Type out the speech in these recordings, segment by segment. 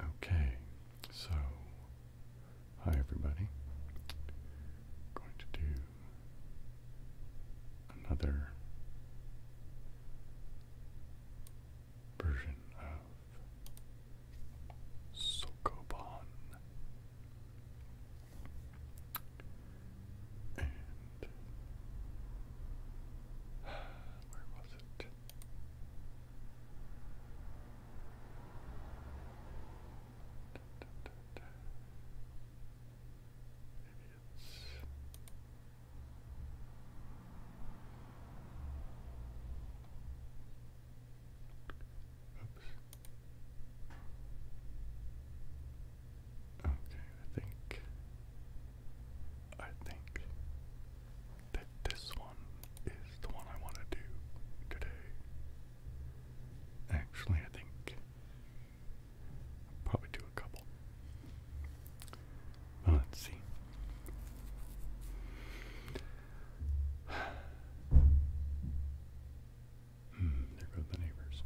Okay, so hi everybody. going to do another version of Sokobon. And where was it? Oops. Okay, I think I think that this one is the one I want to do today. Actually, I think probably do a couple. let's see. Hmm, there go the neighbors.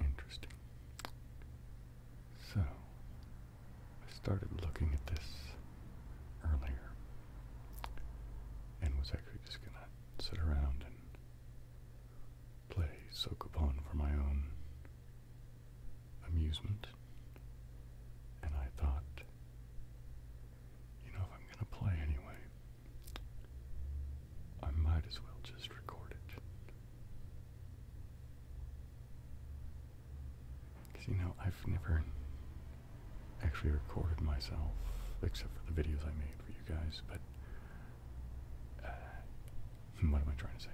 Interesting. So, I started looking at this earlier and was actually just going to sit around and play Sokobon for my own amusement. And I thought, you know, if I'm going to play anyway, I might as well just record it. Because, you know, I've never actually recorded myself, except for the videos I made for you guys, but. Uh, what am I trying to say?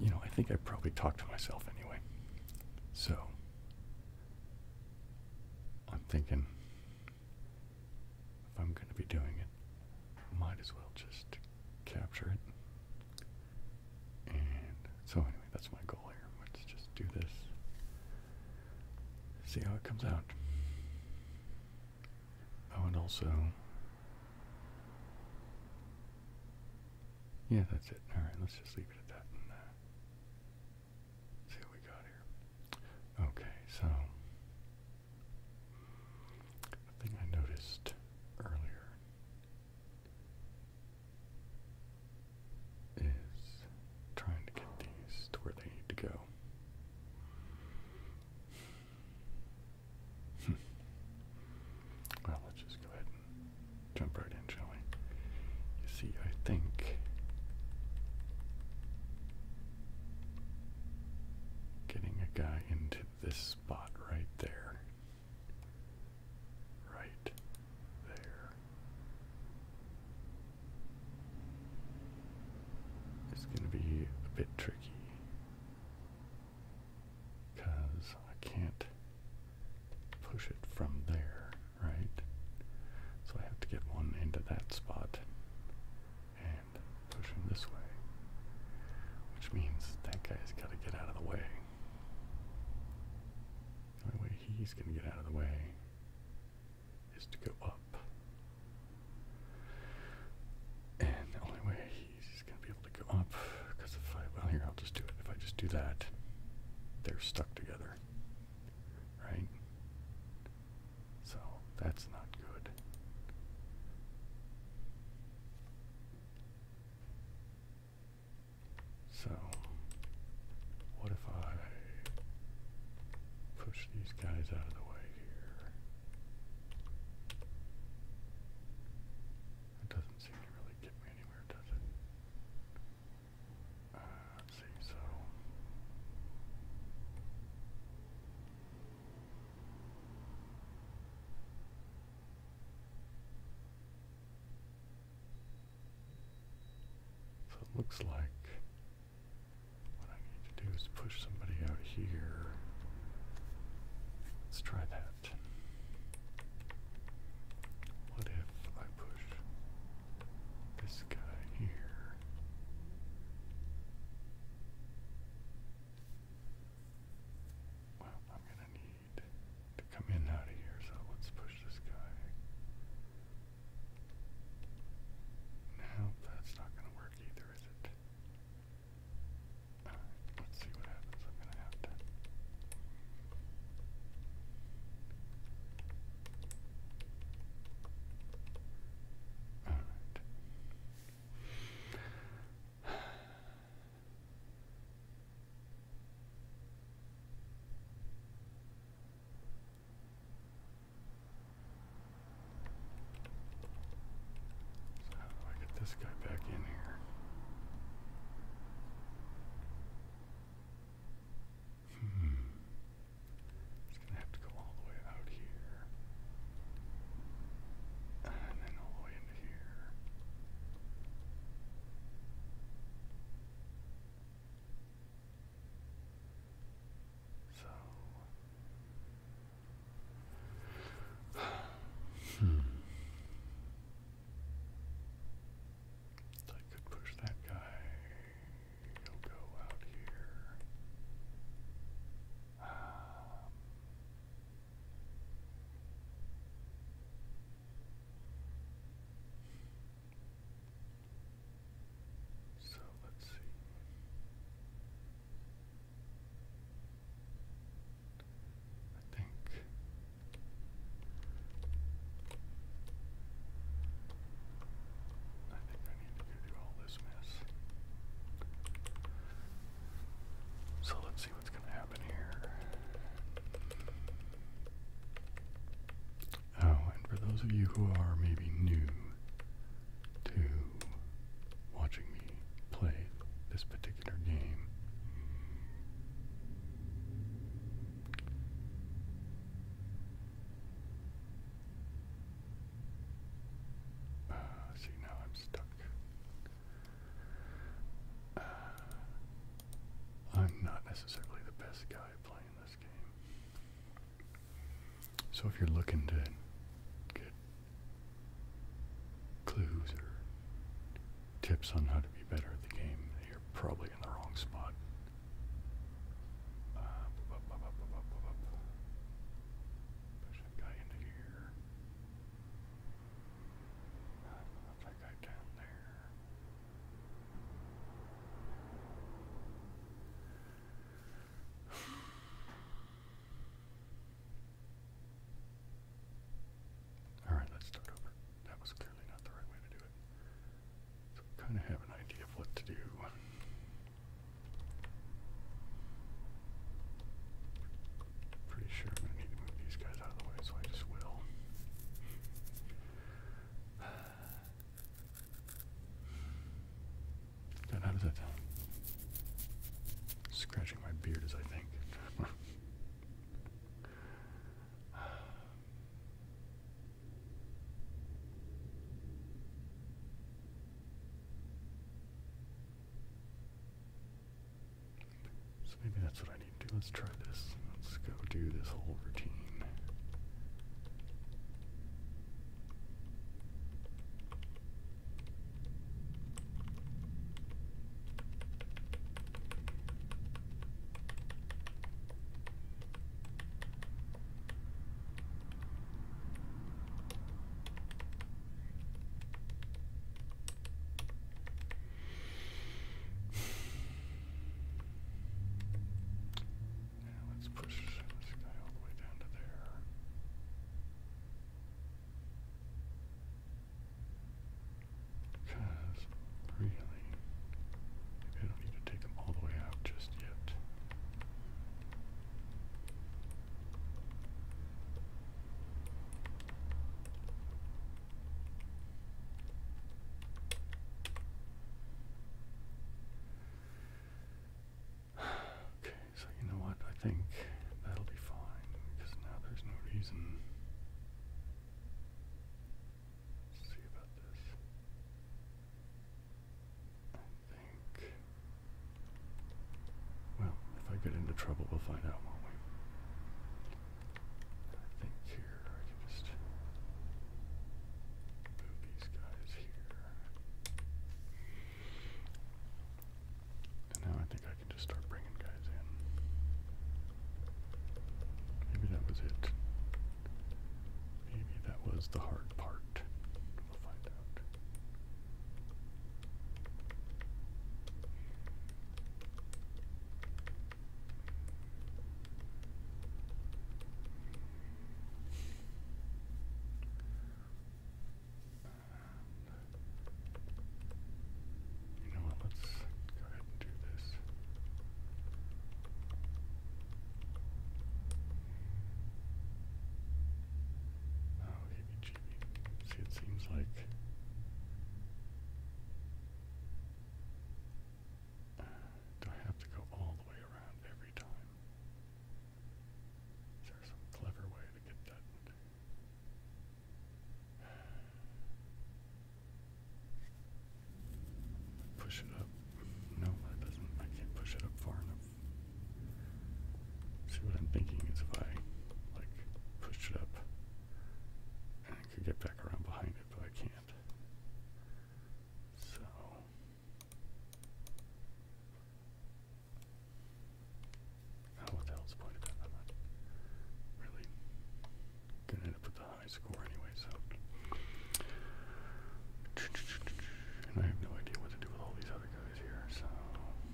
You know, I think I probably talk to myself anyway. So, I'm thinking if I'm going to be doing it, might as well just capture it. And so, anyway, that's my goal here. Let's just do this, see how it comes out. Oh, and also. Yeah, that's it. Alright, let's just leave it at that uh, see what we got here. Okay, so the thing I noticed earlier is trying to get these to where they need to go. Hmm. well, let's just go ahead and jump right in, shall You see, I think Getting a guy into this spot right there. Right there. It's going to be a bit tricky because I can't push it from there, right? So I have to get one into that spot and push him this way, which means that guy's got to get out of the way. The only way he's going to get out of the way is to go up. And the only way he's going to be able to go up, because if I, well, here, I'll just do it. If I just do that, they're stuck together, right? So that's not good. So, what if I push these guys out of the way here? That doesn't seem to really get me anywhere, does it? Uh, so. So it looks like what I need to do is push somebody out here. Let's try that. What if I push this guy here? Well, I'm gonna need to come in and out of here, so let's push this guy. Now that's not gonna work either, is it? Alright, let's see what happens. I'm gonna have to all right. So how do I get this guy back in here? Hmm. It's gonna have to go all the way out here. And then all the way into here. So hmm. I could push that guy He'll um, so let's see. I think I think this mess. So let's see what's going to happen here. Oh, and for those of you who are maybe new to watching me play this particular game, uh, see, now I'm stuck. Ah, I'm not necessarily the best guy playing this game. So if you're looking to get clues or tips on how to be better at the game, you're probably in the wrong spot. Ah, Push that guy into here. Uh, put that guy down there. Alright, let's start over. That was clearly not the right way to do it. So kind of have an idea of what to do. Pretty sure I'm gonna need to move these guys out of the way, so I just will. God, how does that Scratching my beard as I think. So maybe that's what I need to do. Let's try this. Let's go do this whole routine. Now let's push this guy all the way down to there. Because, really, maybe I don't need to take them all the way out just yet. Okay, so you know what? I think that'll be fine because now there's no reason. Let's see about this. Well, if I get into trouble, we'll find out, won't we? I think here I can just move these guys here. And now I think I can just start bringing guys in. Maybe that was it. Maybe that was the hard part. We'll find out. You know what? Let's go ahead and do this. Oh, heebie-jeebie. See, it seems like do I have to go all the way around every time? Is there some clever way to get that? Push it up. No, that doesn't. I can't push it up far enough See what I'm thinking is if I like pushed it up and I could get back around behind it, but I can't. So oh, what the hell's pointed at? i really gonna end up with a high score anyway, so and I have no idea what to do with all these other guys so I'm going to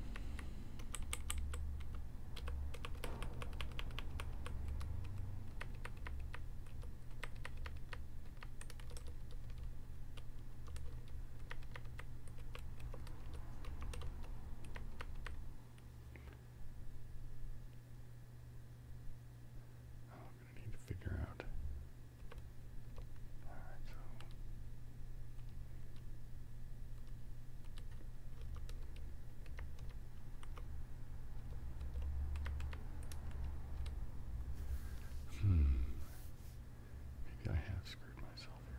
need to figure out Hmm. Maybe I have screwed myself here.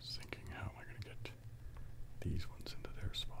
Just thinking, how am I going to get these ones into their spots?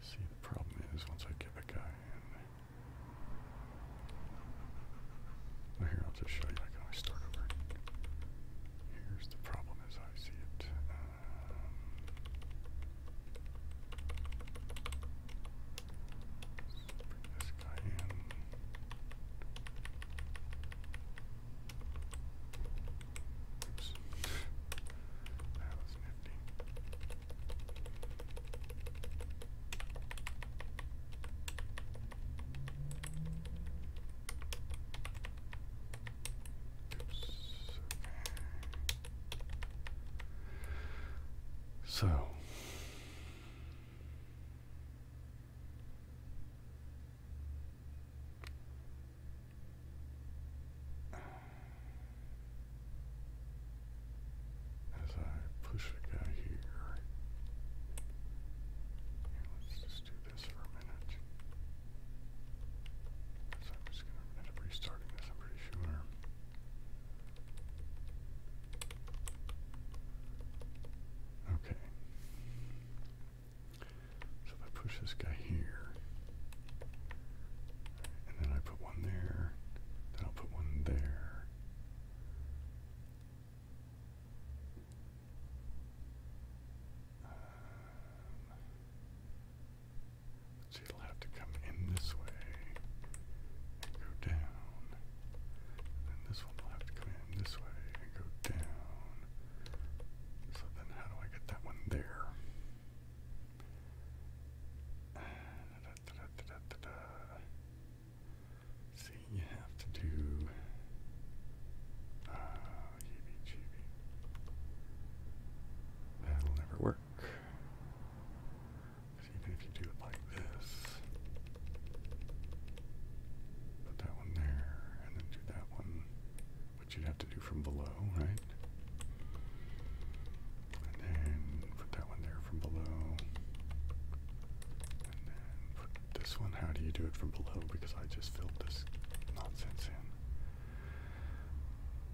See, the problem is once I get a guy in. here, I'll just show you. I can start over. Here's the problem as I see it. Um, bring this guy in. Oops. That was nifty. Oops. So as I push a guy here, let's just do this for a minute. So I'm just going to end up restarting this, I'm pretty sure. Okay. So if I push this guy here, and then I put one there, then I'll put one there. Um, so it'll have to come in this way and go down. then this one will have to come in this way and go down. So then how do I get that one there? See, you have to do uh, That'll never work. even if you do it like this, put that one there, and then do that one, which you'd have to do from below, right? And then put that one there from below. And then put this one, how do you do it from below? Because I just filled this nonsense in.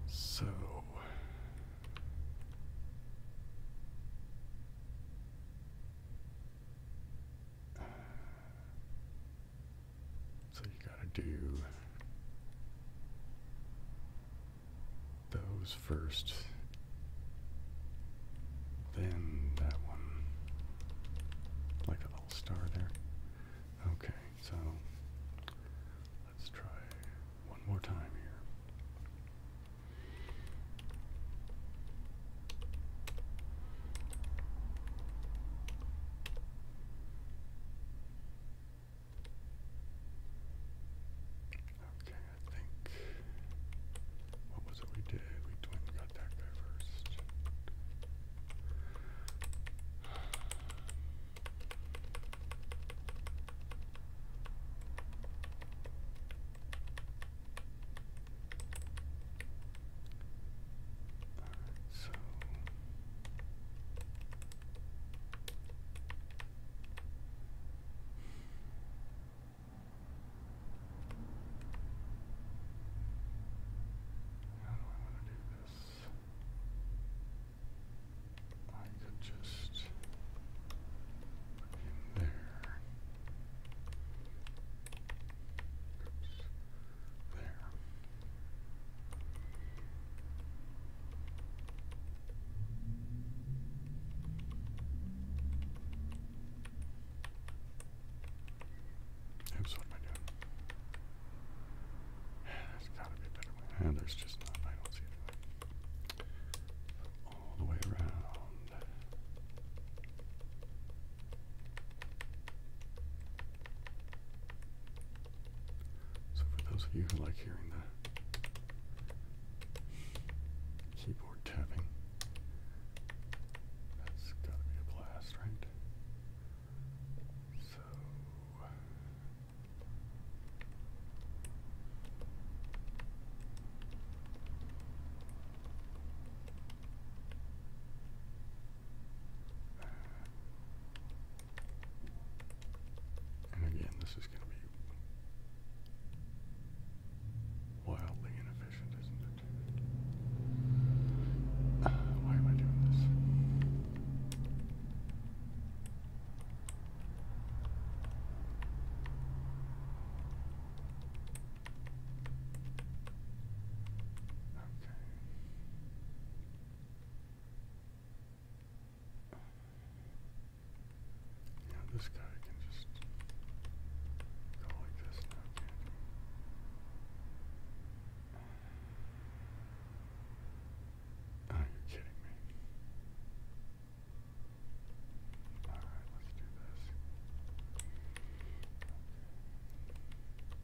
So. Uh, so you gotta do those first, then that one, like a little star there. Okay, so let's try one more time here. Okay, I think. What was it we did? We went got that first. Alright, so how do I want to do this? I could just put there. There what am I doing? There's gotta be a better way. And there's just not, I don't see it. All the way around. So for those of you who like hearing the keyboard tapping, that's gotta be a blast, right? So and again, this is going to be wildly inefficient, isn't it? why am I doing this? Okay. Yeah, this guy can just go like this Oh, you're kidding me. Alright, let's do this.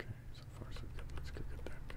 Okay, so far so good. Let's go get that guy.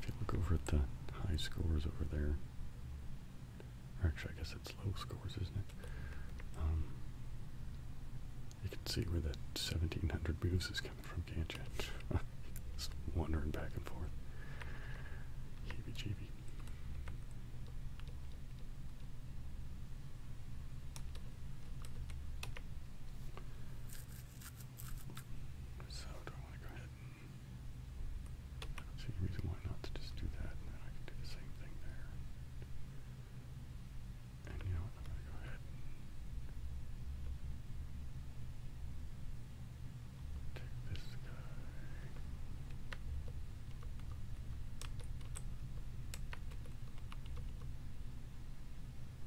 if you look over at the high scores over there, or actually, I guess it's low scores, isn't it? Um, you can see where that 1700 moves is coming from, can't you? Just wandering back and forth. Heebie jeebie. So do I want to go ahead and... I don't see any reason why not to just do that, and then I can do the same thing there. And you know what, I'm going to go ahead and... Take this guy...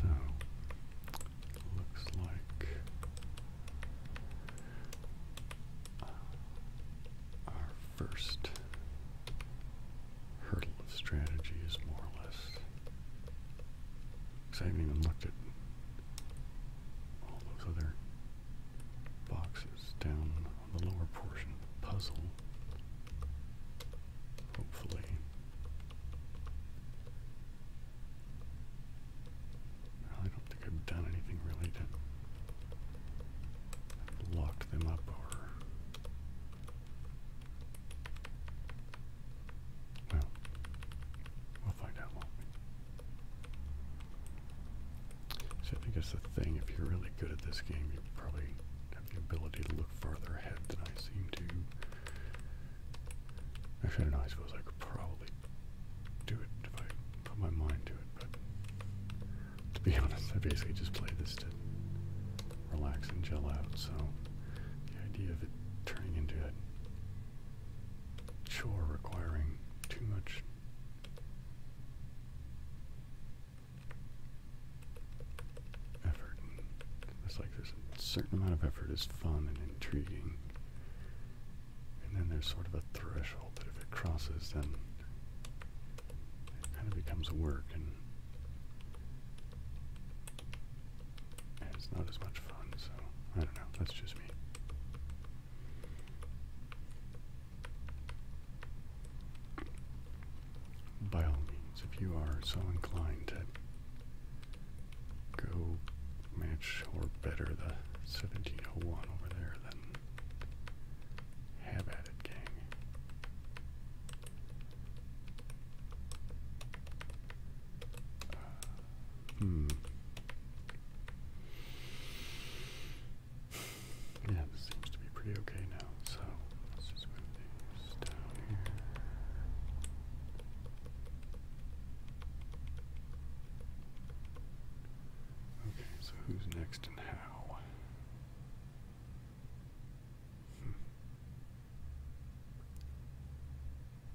So looks like uh, our first hurdle of strategy is more or less. Because I haven't even looked at all those other boxes down on the lower portion of the puzzle. Hopefully. I don't think I've done anything really to them up or. Well, we'll find out, will I think that's the thing. If you're really good at this game, you probably the ability to look farther ahead than I seem to. Actually, I don't know, I suppose I could probably do it if I put my mind to it, but to be honest, I basically just play this to relax and gel out, so the idea of it turning into a chore requiring too much effort. It's like there's a certain amount of effort is fun and intriguing. And then there's sort of a threshold that if it crosses, then it kind of becomes work and, and it's not as much fun. So, I don't know. That's just me by all means, if you are so inclined to go match or better the 1701 over there, then have at it, gang. Uh, hmm. Yeah, seems to be pretty okay now, so Okay, so who's next and how? Hmm.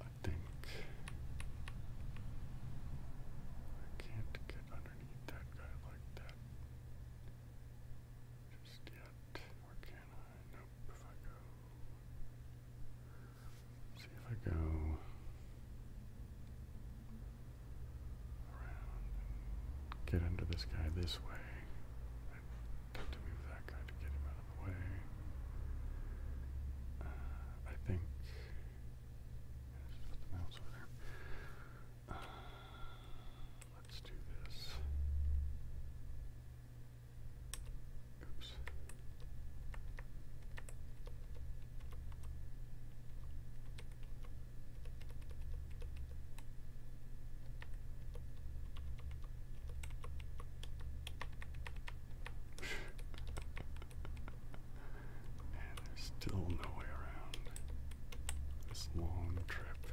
I think I can't get underneath that guy like that just yet. Where can I? go, see if I go around get under this guy this way. have to move that guy to get him out of the way. Uh, I think. Uh, let's do this. Oops. and there's still no way around this long trip.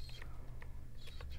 So let's do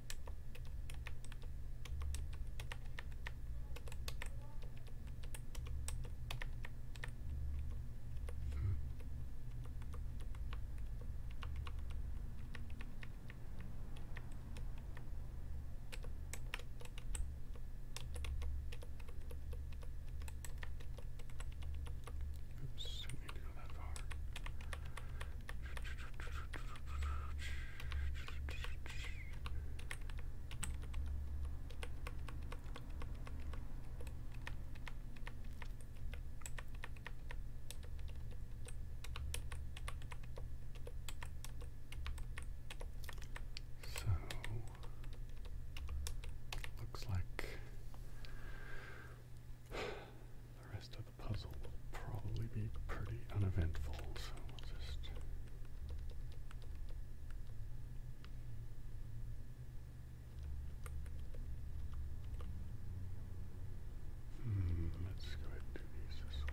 Hmm. Oops, don't need to go that far. So looks like the rest of the puzzle will probably be pretty uneventful, so we'll just. Hmm, let's go ahead and do these this way.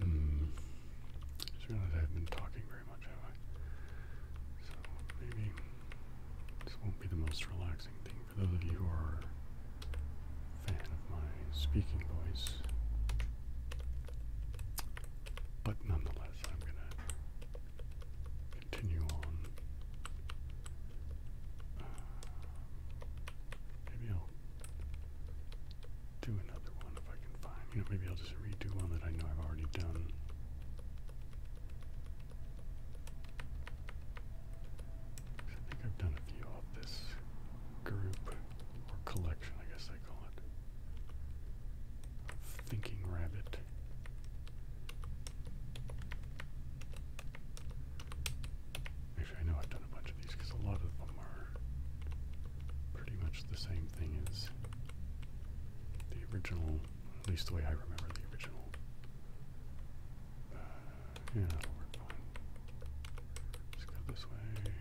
Hmm. I have been talking very much, have I? So maybe this won't be the most relaxing thing for those of you who are a fan of my speaking voice. But nonetheless, I'm gonna continue on. Uh, maybe I'll do another one if I can find. You know, maybe I'll just redo one that I know I've already done. I think I've done a few of this group or collection, I guess I call it. thinking rabbit. Actually, I know I've done a bunch of these because a lot of them are pretty much the same thing as the original, at least the way I remember the original. Uh, yeah, that'll work Let's go this way.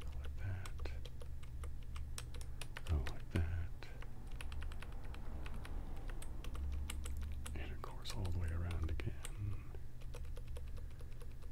Go like that. Go like that. And of course, all the way around again.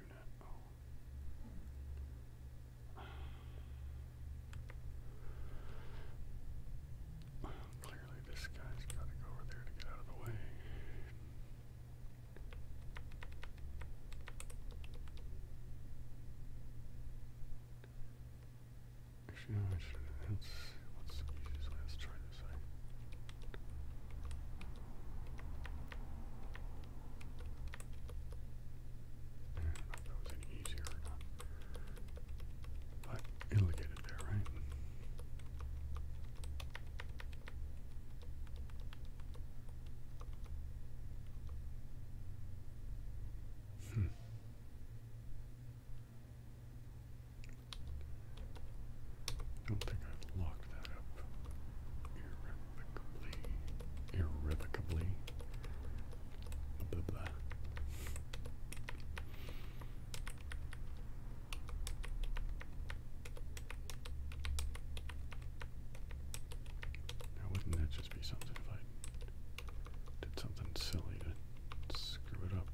do oh. not clearly this guy's got to go over there to get out of the way. Actually, no, I should. That's what's way. Let's try this out that was any easier But it'll get it there, right? Hmm. I don't think I've locked that up irrevocably. Irrevocably. Now, wouldn't that just be something if I did something silly to screw it up?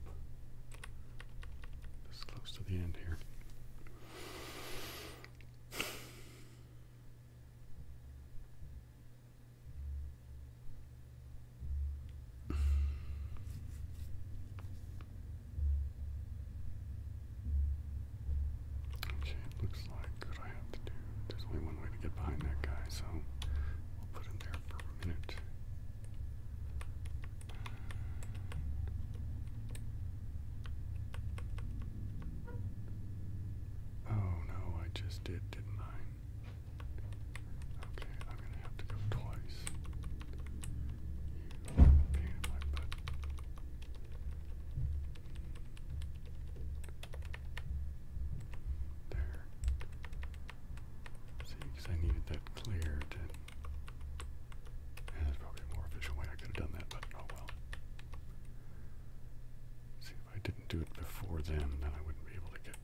This close to the end here. Okay, it looks like what I have to do. There's only one way to get behind that guy, so we'll put him there for a minute. Oh no, I just did, didn't I? Okay, I'm gonna have to go twice. There. See, because I needed that clear there's probably a more efficient way I could have done that, but oh well. See, if I didn't do it before then, then I wouldn't be able to get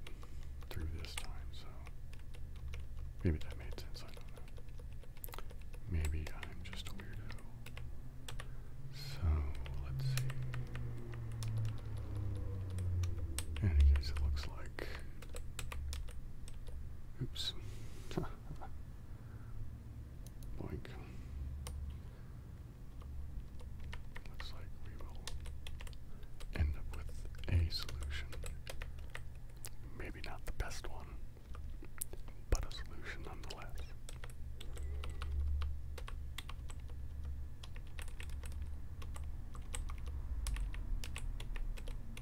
through this time, so maybe that made sense, I don't know. Maybe I'm just weirdo. So, let's see. any case, it looks like. Oops. Like, looks like we will end up with a solution. Maybe not the best one, but a solution nonetheless.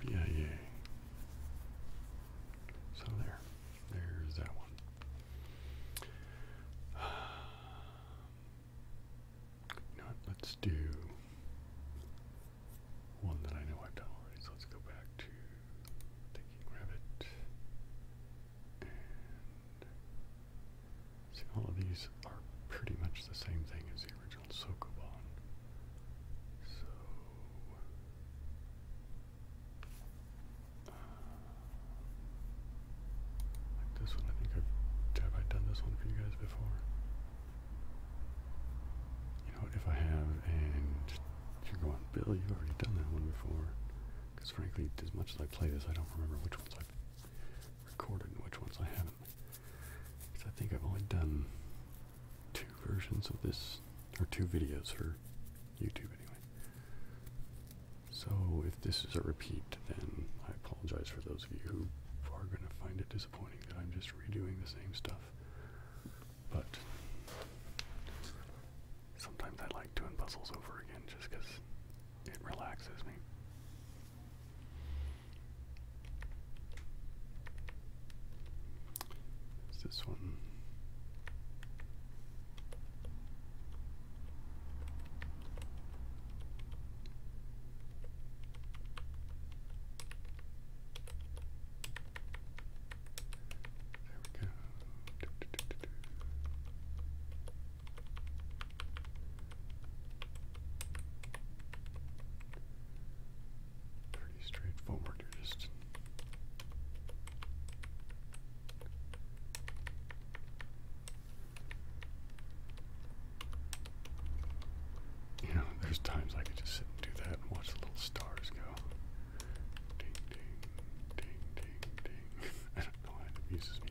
BIA. So there, there's that one. you know what? Let's do one that I know I've done already. So let's go back to Thinking Rabbit see, all of these are pretty much the same thing as the original Sokoban. So. Uh, like this one, I think I've have I done this one for you guys before. You know, if I have, and you're going, Bill, you've already done that one before. Because frankly, as much as I play this, I don't remember which ones I've recorded and which ones I haven't. Because I think I've only done two versions of this, or two videos for YouTube anyway. So if this is a repeat, then I apologize for those of you who are going to find it disappointing that I'm just redoing the same stuff. But Sometimes I like doing puzzles over again just because it relaxes me. Is this one? Pretty straightforward, you're just you know, there's times I could just sit and do that and watch the little stars go. Ding, ding, ding, ding, ding. I don't know why it amuses me.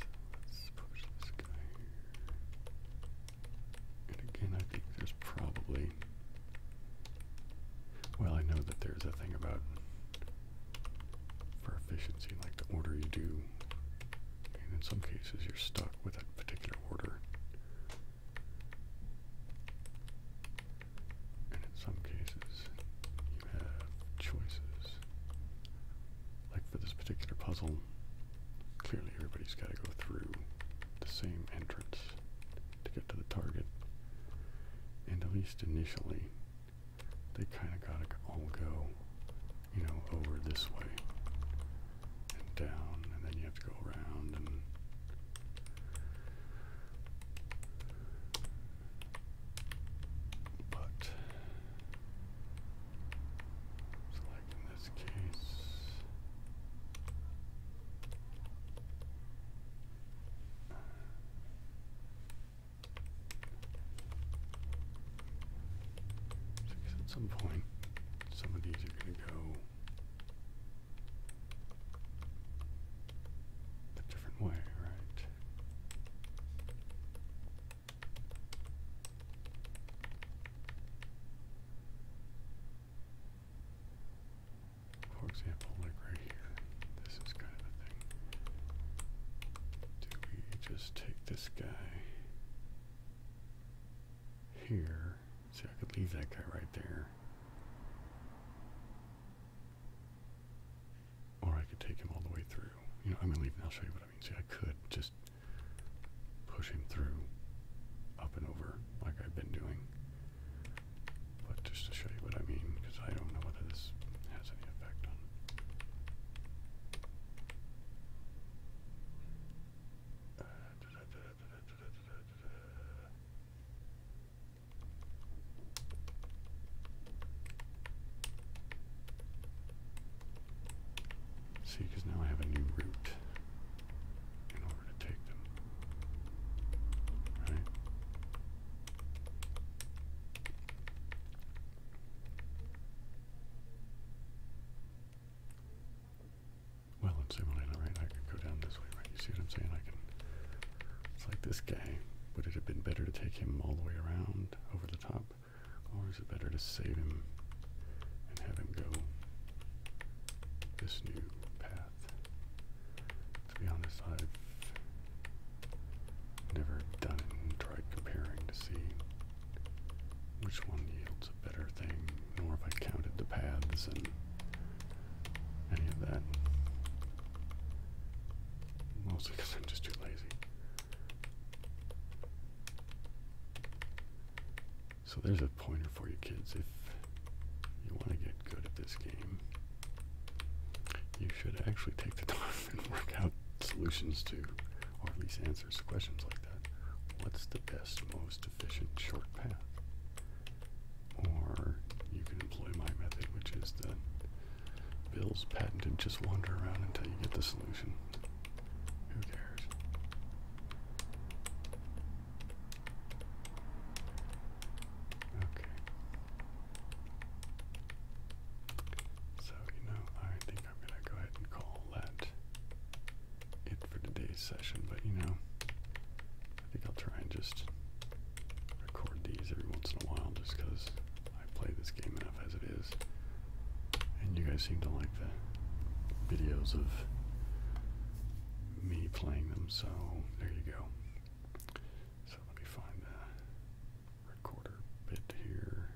So let's push this guy here. And again, I think there's probably. Well, I know that there's a thing about for efficiency, like the order you do. And in some cases, you're stuck with a particular order. And in some cases, you have choices. Like for this particular puzzle, clearly everybody's got to go through the same entrance to get to the target. And at least initially, they kind of got to all go, you know, over this way and down, and then you have to go around and but so like in this case at some point some of these are going to go a different way, right? For example, like right here, this is kind of a thing. Do we just take this guy here. See, I could leave that guy right there. Or I could take him all the way through. You know, I'm going to leave and I'll show you what I mean. See, I could just push him through, up and over, like I've been doing. But just to show you what I mean, because I don't know whether this has any effect on See, because now I have a new route in order to take them. Right? well in Simulator, right? I can go down this way, right? You see what I'm saying? I can. It's like this guy. Would it have been better to take him all the way around over the top, or is it better to save him and have him go this new path? To be honest, I've never done it and tried comparing to see which one yields a better thing nor have I counted the paths and any of that. Mostly because I'm just too lazy. So there's a pointer for you kids. If you want to get good at this game, you should actually take the time and work out solutions to, or at least answer to questions like that. What's the best, most efficient short path? Or you can employ my method, which is that Bill's patented just wander around until you get the solution. Who cares? Okay. So, you know, I think I'm going to go ahead and call that it for today's session, but you know, I think I'll try and just record these every once in a while just because I play this game enough as it is. And you guys seem to like the videos of me playing them, so there you go. So let me find the recorder bit here.